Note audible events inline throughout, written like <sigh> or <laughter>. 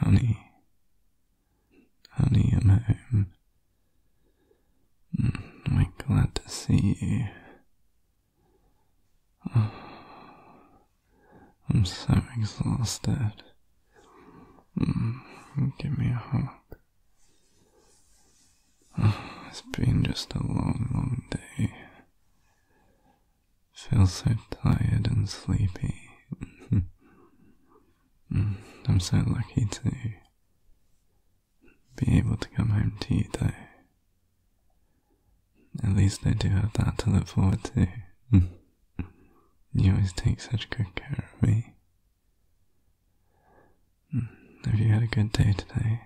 Honey, honey, I'm home. Mm, I'm glad to see you. <sighs> I'm so exhausted. Mm, give me a hug. <sighs> it's been just a long, long day. Feel so tired and sleepy. <laughs> Mm, I'm so lucky to be able to come home to you, though. At least I do have that to look forward to. <laughs> you always take such good care of me. Hmm. Have you had a good day today?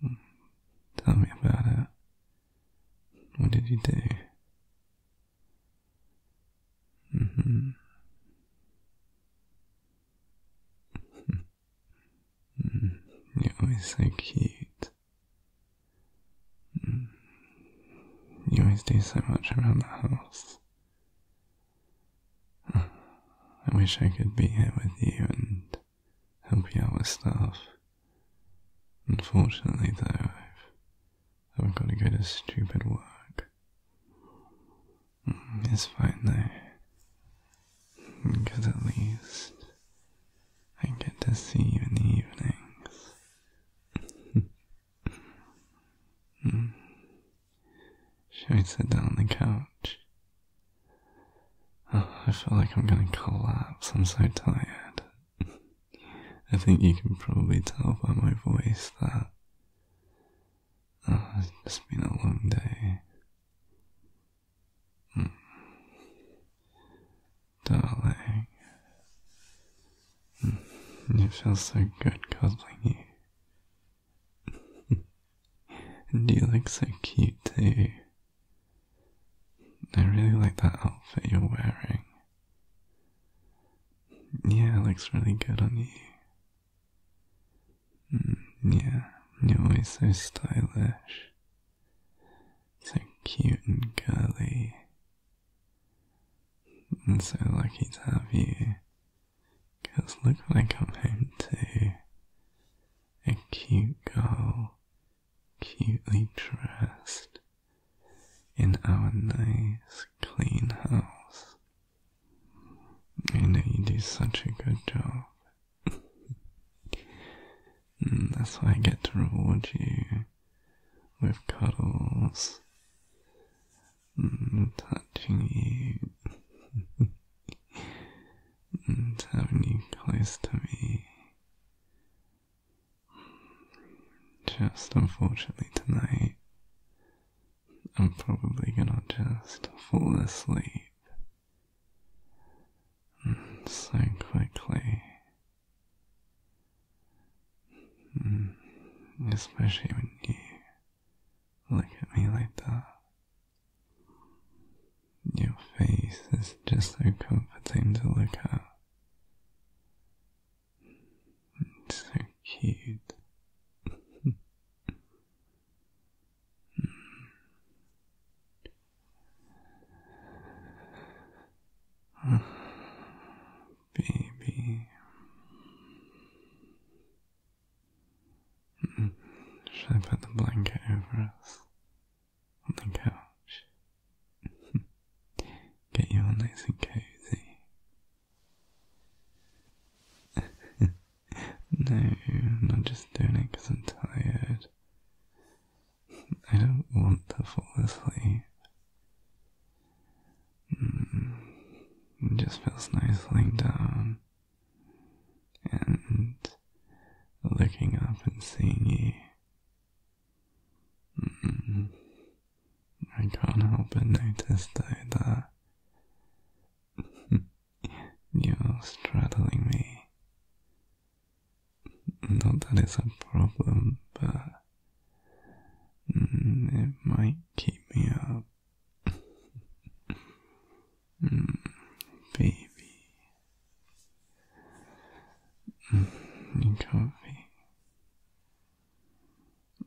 Hmm. Tell me about it. What did you do? Mm-hmm. Hmm. You're always so cute. You always do so much around the house. I wish I could be here with you and help you out with stuff. Unfortunately, though, I've, got to go to stupid work. Mm, it's fine, though. Because at least I get to see you in the evenings. <laughs> Hmm. Should I sit down on the couch? Oh, I feel like I'm gonna collapse. I'm so tired. I think you can probably tell by my voice that oh, it's been a long day. Hmm. Darling, it hmm. feels so good cuddling you and you look so cute too. I really like that outfit you're wearing. Yeah, it looks really good on you. Mm, yeah, you're always so stylish. So cute and girly. I'm so lucky to have you Cause look what I got my to A cute girl, cutely dressed, in our nice, clean house. I know you do such a good job. Mm, that's why I get to reward you with cuddles Mm, touching you and mm, having you close to me. Just unfortunately tonight, I'm probably gonna just fall asleep mm, so quickly. Especially when you Look at me like that. Your face is just so comforting to look at. so cute baby. Should I put the blanket over us on the couch? <laughs> Get you all nice and cozy. <laughs> no, I'm just doing it because I'm tired. I don't want to fall asleep. Mm-hmm. just feels nice laying down and looking up and seeing you. Mm-hmm. I can't help but notice that <laughs> you're straddling me. Not that it's a problem, but Mm, it might keep me up. Hmm, baby. Mm, coffee.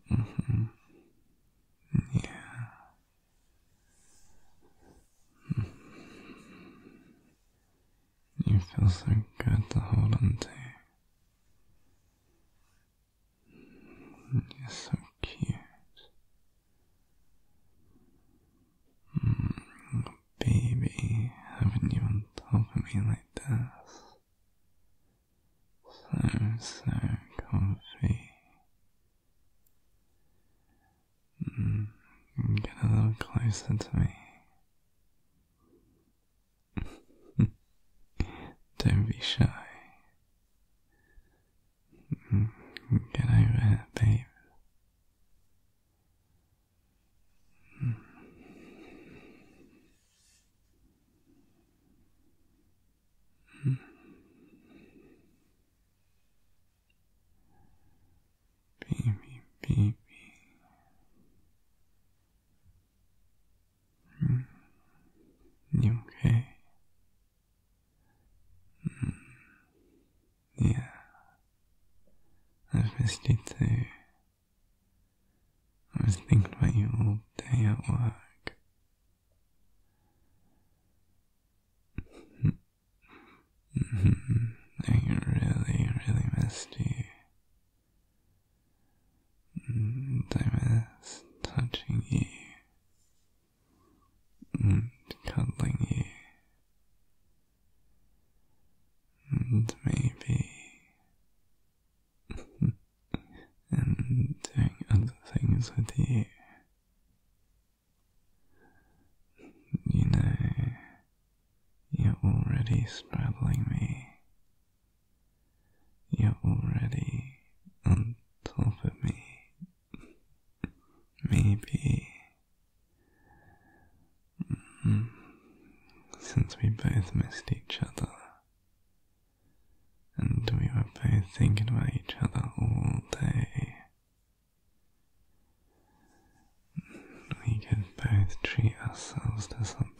Mm -hmm. Mm-hmm. Yeah. Hmm. You feel so good to hold on to. You're so cute. Mm, baby, having you on top of me like this. So, so comfy. Mm, get a little closer to me. <laughs> Don't be shy. Mm-hmm. Get over it, babe. Mm-hmm. Baby, baby. You mm. mm. okay? Mm. Yeah, i missed you too. I was thinking about you all day at work. I mm-hmm. mm-hmm. really, really missed you. And mm, touching you and cuddling you. And maybe <laughs> and doing other things with you. You know, you're already straddling me you're already on top of me. Maybe mm-hmm. since we both missed each other and we were both thinking about each other all day, we could both treat ourselves to something.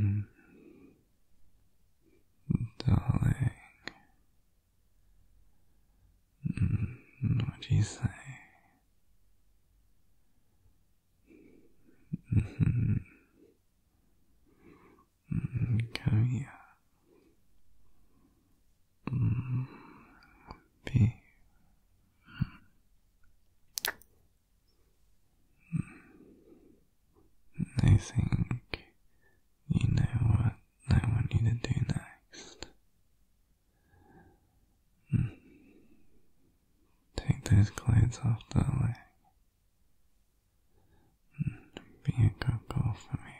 Mm. Darling, mm. what do you say? Mm. Come here. Mm. Be Hmm. I think you know what I want you to do next. Hmm. Take those clothes off, darling. Hmm. Be a good for me.